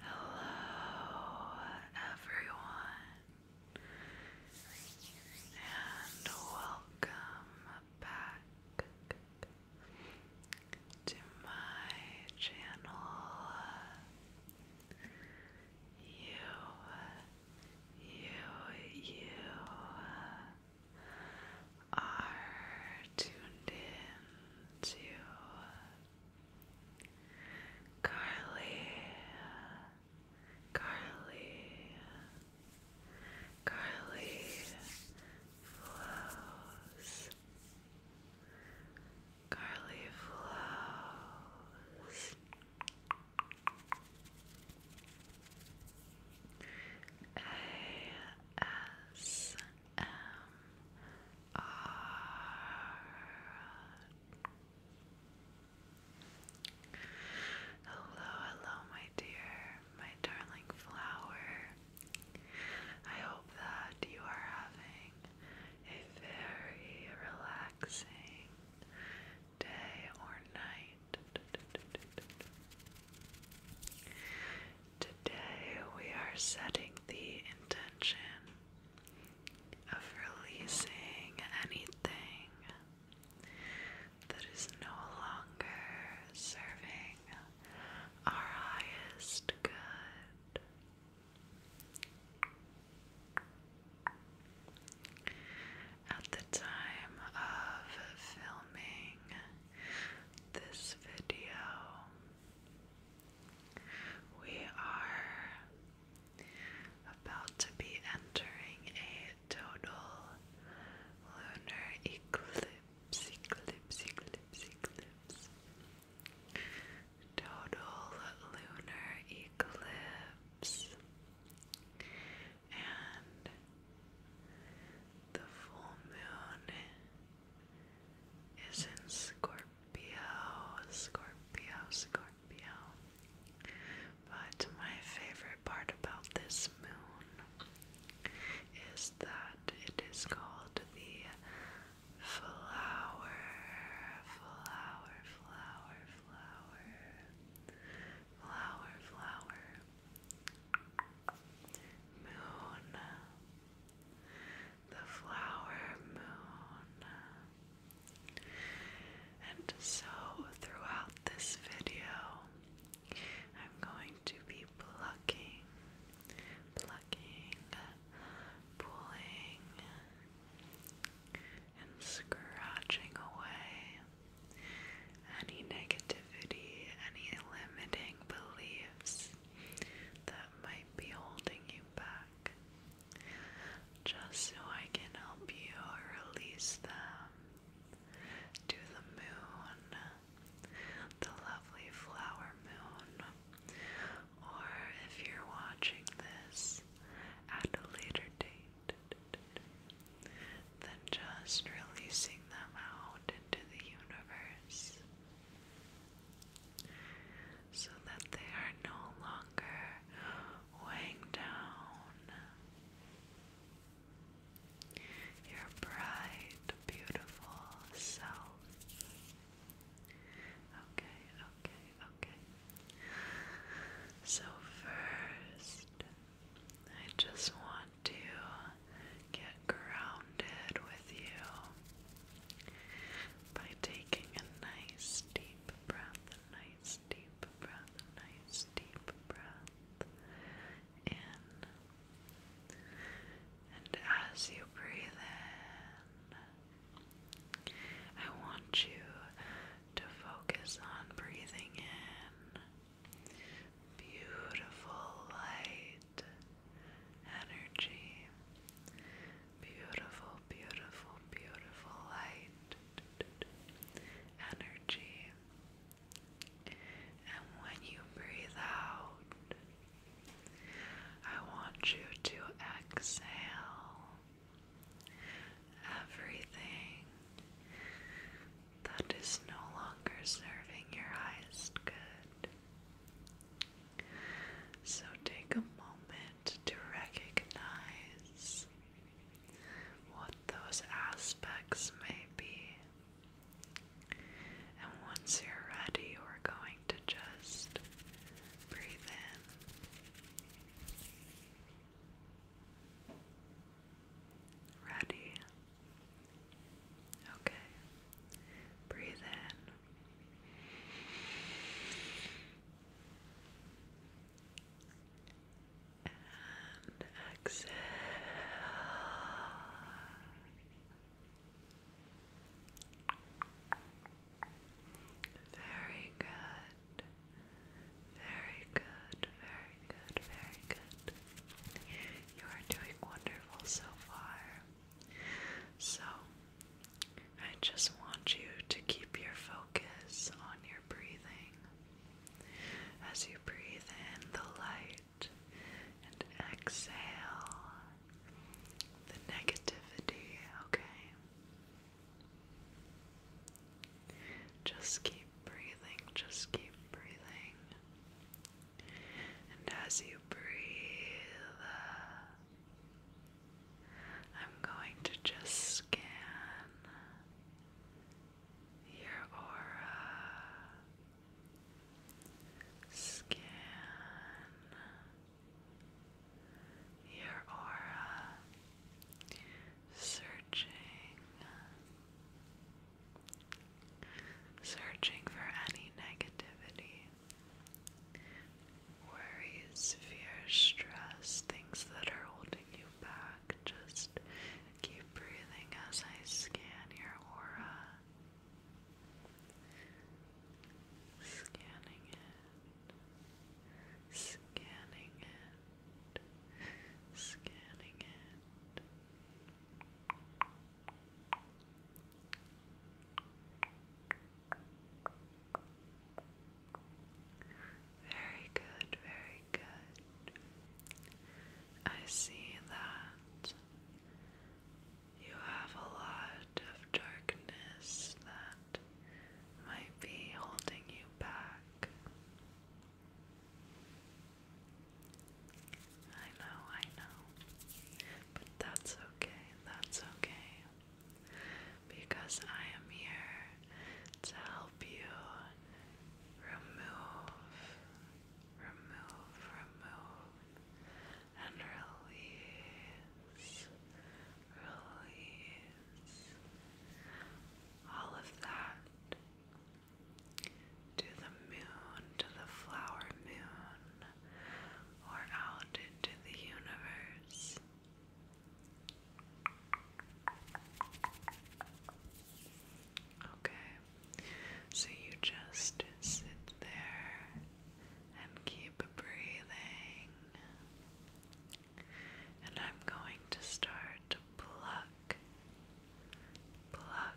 Hello, everyone, and welcome back to my channel. You, you, you are tuned in to Carly, Carly, Carly flows. Carly flows. A S M R Hello, hello, my dear, my darling flower. I hope that you are having a very relaxing day or night. Today we are setting the intention of releasing anything that is no longer serving our highest good. At the time of filming this video. We are about to be entering a total lunar eclipse, eclipse, eclipse, eclipse. Total lunar eclipse. And the full moon is in Scorpio, Scorpio, Scorpio. But my favorite part about this moon is that it is called the flower, flower, flower, flower, flower, flower. Moon, the flower moon. And so, throughout this video, I'm going to be plucking, plucking, pulling, and scratching away any negativity, any limiting beliefs that might be holding you back, just so I can help you release them to the moon, the lovely flower moon, or if you're watching this at a later date. Than just releasing them out into the universe so that they are no longer weighing down your bright, beautiful self. Okay, okay, okay. So, first, I just want to get grounded with you by taking a nice deep breath, nice deep breath, nice deep breath in. And as you breathe in, I want you to focus on breathing in beautiful light energy, beautiful, beautiful, beautiful light, energy. And when you breathe out, I want you to exhale everything that is no longer serving your highest good. So take a moment to recognize what those aspects may be. And once you're ready, we're going to just breathe in. Ready, Okay. Breathe in. And exhale. Very good. Very good. Very good. Very good. You are doing wonderful so far. So, I just want you to keep your focus on your breathing. As you breathe in the light and exhale the negativity, okay? Just keep breathing, just keep breathing. And as you breathe, uh, I'm going to just scan your aura. Scan your aura, searching searching for any negativity, worries, fears, stress, things that are holding you back. Just keep breathing as I scan your aura. Scanning it, scanning it, scanning it. Very good, very good. I see that you have a lot of darkness that might be holding you back. I know, I know. But that's okay, that's okay. Because I am here to help you remove, remove, remove, and release, release all of that to the moon, to the flower moon, or out into the universe. Okay, so you just sit there and keep breathing. And I'm going to start pluck, pluck,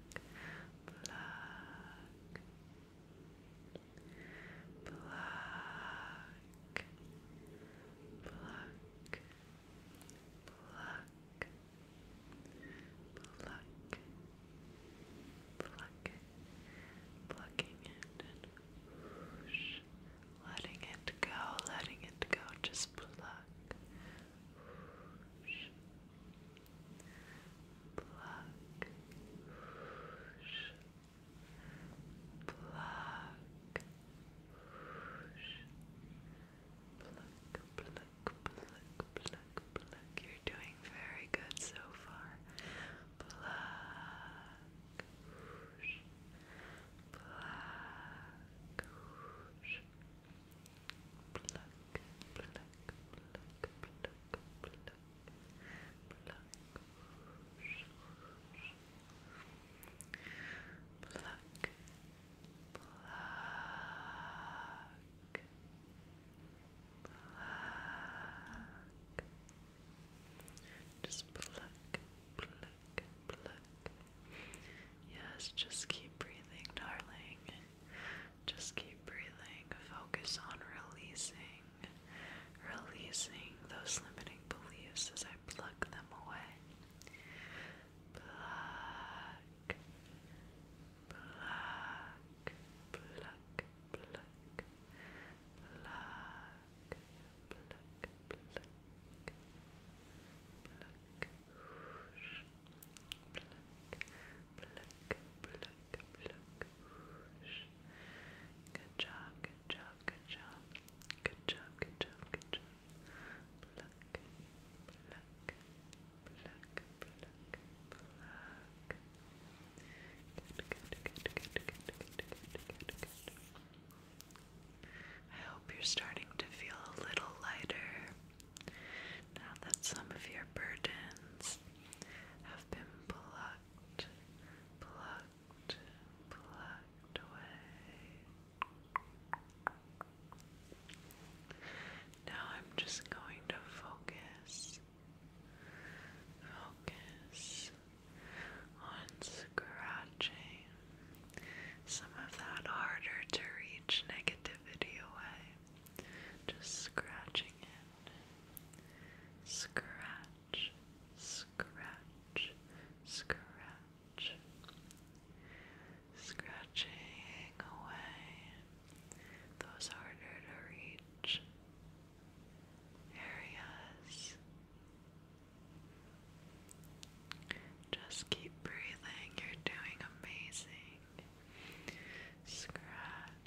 pluck, pluck. Pluck, pluck, pluck, pluck, plucking it and whoosh, letting it go, letting it go, just pluck, pluck, whoosh, pluck, whoosh, pluck, pluck, pluck, pluck, pluck. You're doing very good so far. Pluck, whoosh, pluck, whoosh pluck, pluck, pluck, pluck, pluck, pluck. Whoosh, whoosh. Pluck, pluck, pluck. Just pluck, pluck, pluck. Yes, just keep breathing, darling. Just keep breathing. Focus on releasing, releasing those limiting beliefs as I pluck them away. Pluck, pluck, pluck, pluck, pluck, pluck, pluck. Pluck, pluck, pluck, pluck, Good job, good job, good job. Good job, good job, good job. Pluck, pluck, pluck, pluck, pluck. Good, good, good, good, good, good, good, good, good. I hope you're starting to feel a little lighter. Now that some of your burdens have been plucked, plucked, plucked away. Now I'm just going to focus, focus on scratching some of that harder to reach negativity away. Just scratching it, Scratch, scratch, scratch. Scratching away those harder to reach areas. Just keep breathing, you're doing amazing. Scratch,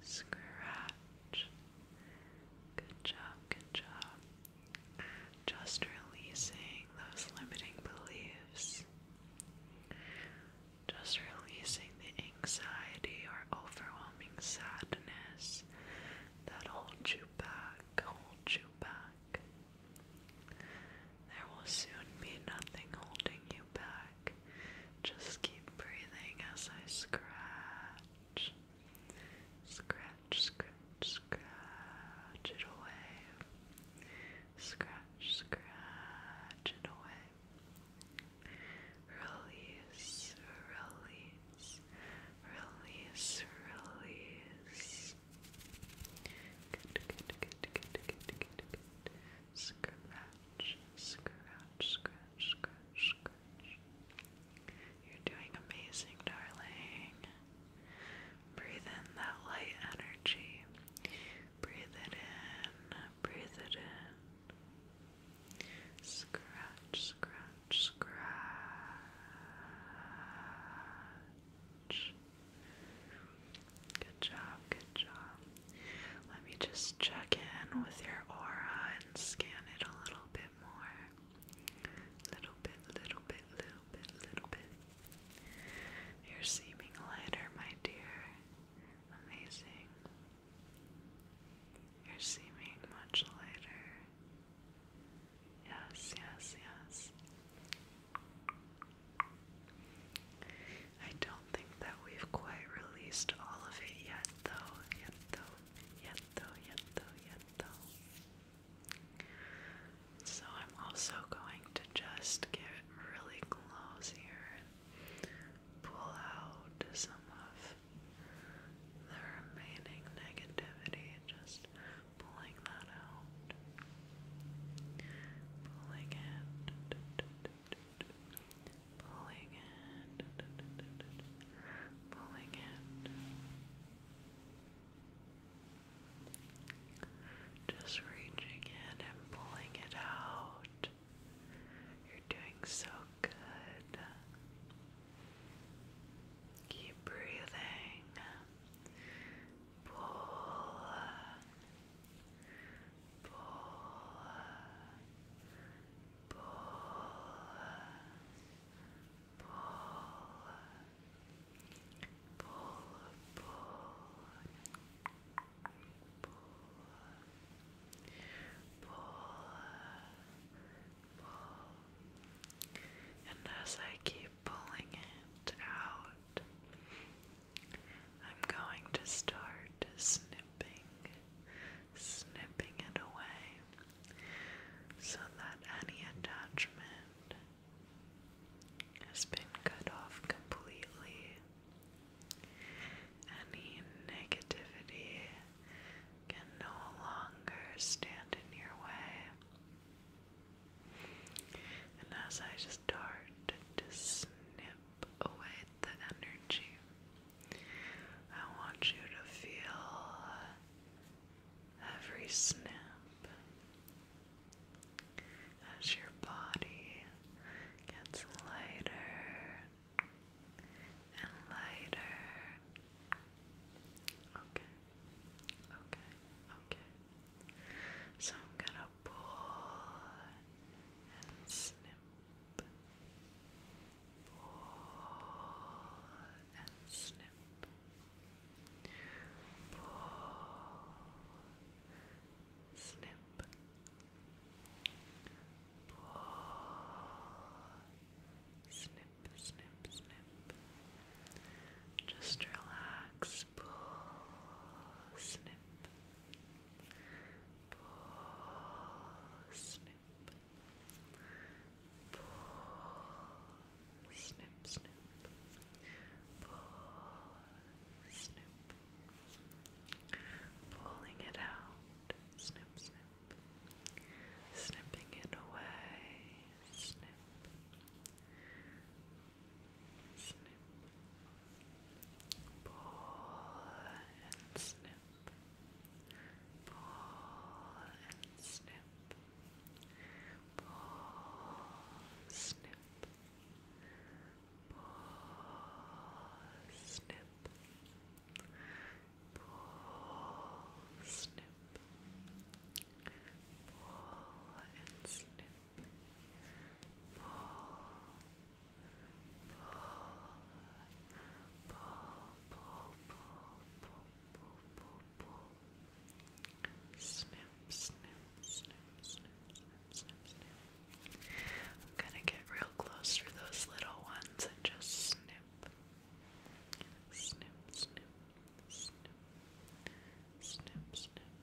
Scratch. Good job, good job. Just releasing those limiting beliefs. Just releasing the anxiety or overwhelming sadness that hold you back, Hold you back. There will soon be nothing holding you back. Just keep breathing as I scratch. Scratch, scratch, scratch it away. Scratch, scratch it away. Release, release, release, release yes. Good, good, good, good, good, good, good. Scratch, scratch, scratch, scratch, scratch. You're doing amazing, darling. Breathe in that light energy. Breathe it in, breathe it in. Scratch, scratch, scratch. Good job, good job. Let me just check in with your aura and scan it a little bit more. Little bit, little bit, little bit, little bit. You're seeming lighter, my dear. Amazing. You're seeming much lighter. Yes, yes, yes. I don't think that we've quite released all of it yet, though. Yet, though. Yet, though. Yet, though. Yet, though. So I'm also going to just get really close here and pull out some of the remaining negativity, just pulling that out pulling it, pulling it, pulling it, just reaching in and pulling it out. You're doing so good. Keep breathing. Pull, uh, pull, pull, pull, pull, pull, pull, pull, and as I keep pulling it out, I'm going to start snipping, snipping it away so that any attachment has been cut off completely. Any negativity can no longer stand in your way. And as I just start to snip away the energy, I want you to feel every snip as your body gets lighter and lighter. Okay, okay, okay. So I'm gonna pull and snip, pull and snip, pull, snip, pull, snip, snip, snip. Just relax pull, snip, pull, snip, pull, snip, snip, pull, snip, pulling it out, snip, snip. Snipping it away, snip, snip, pull and snip, pull and snip, pull, snip, pull, snip, pull, snip, pull and snip. Snip, snip, snip, snip, snip, snip, snip. I'm gonna get real close for those little ones and just snip. Snip, snip, snip, snip, snip,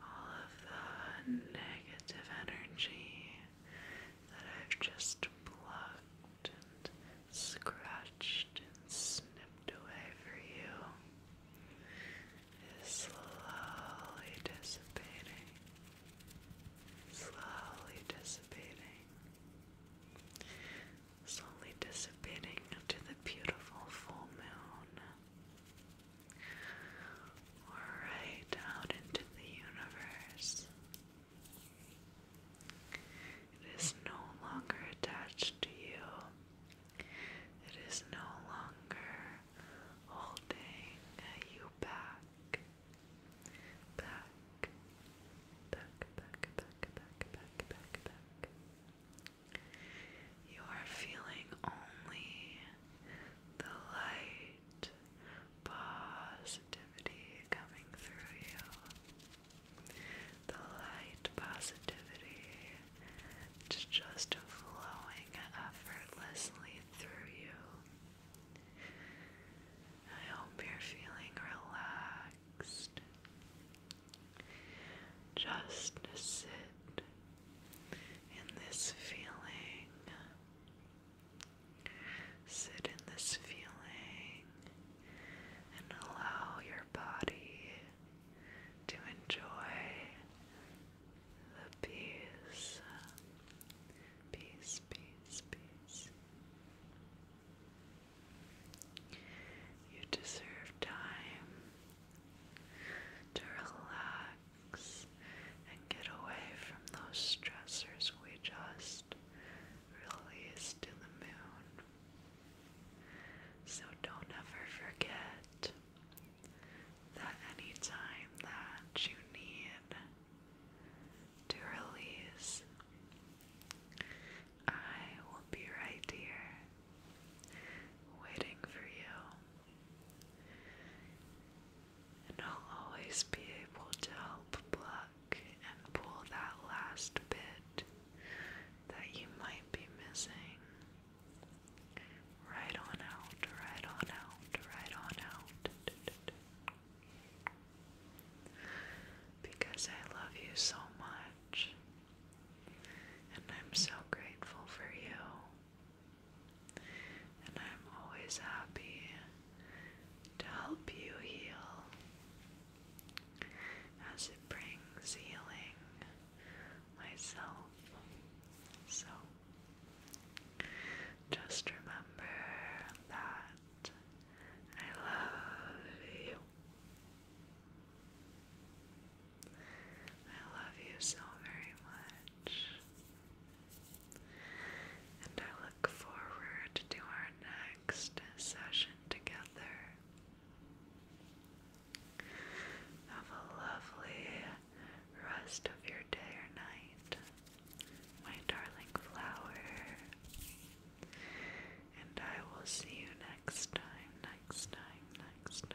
all of the negative energy that I've just plucked and scratched and snipped away for you is slowly dissipating, slowly dissipating, slowly dissipating into the beautiful full moon right out into the universe. It is no longer attached to you. It is no longer holding you back. Back, back, back, back, back, back, back, back. You are feeling only the light positivity coming through you. The light positivity just flowing effortlessly through you. I hope you're feeling relaxed. Just sit in this feeling. Sit in this feeling and allow your body to enjoy the peace. Peace, peace, peace. You deserve time to relax and get away from those stressors we just released in the moon. So don't ever forget that any time that you need to release, I will be right here waiting for you. And I'll always be able to help pluck and pull that last bit that you might be missing. Right on out, right on out, right on out. Because I love you so much. And I'm so grateful for you. And I'm always happy to help you heal as it brings healing myself. So just remember that I love you. I love you so very much. And I look forward to our next session together. Have a lovely rest of your day or night, my darling flower. And I will see you next time, next time, next time.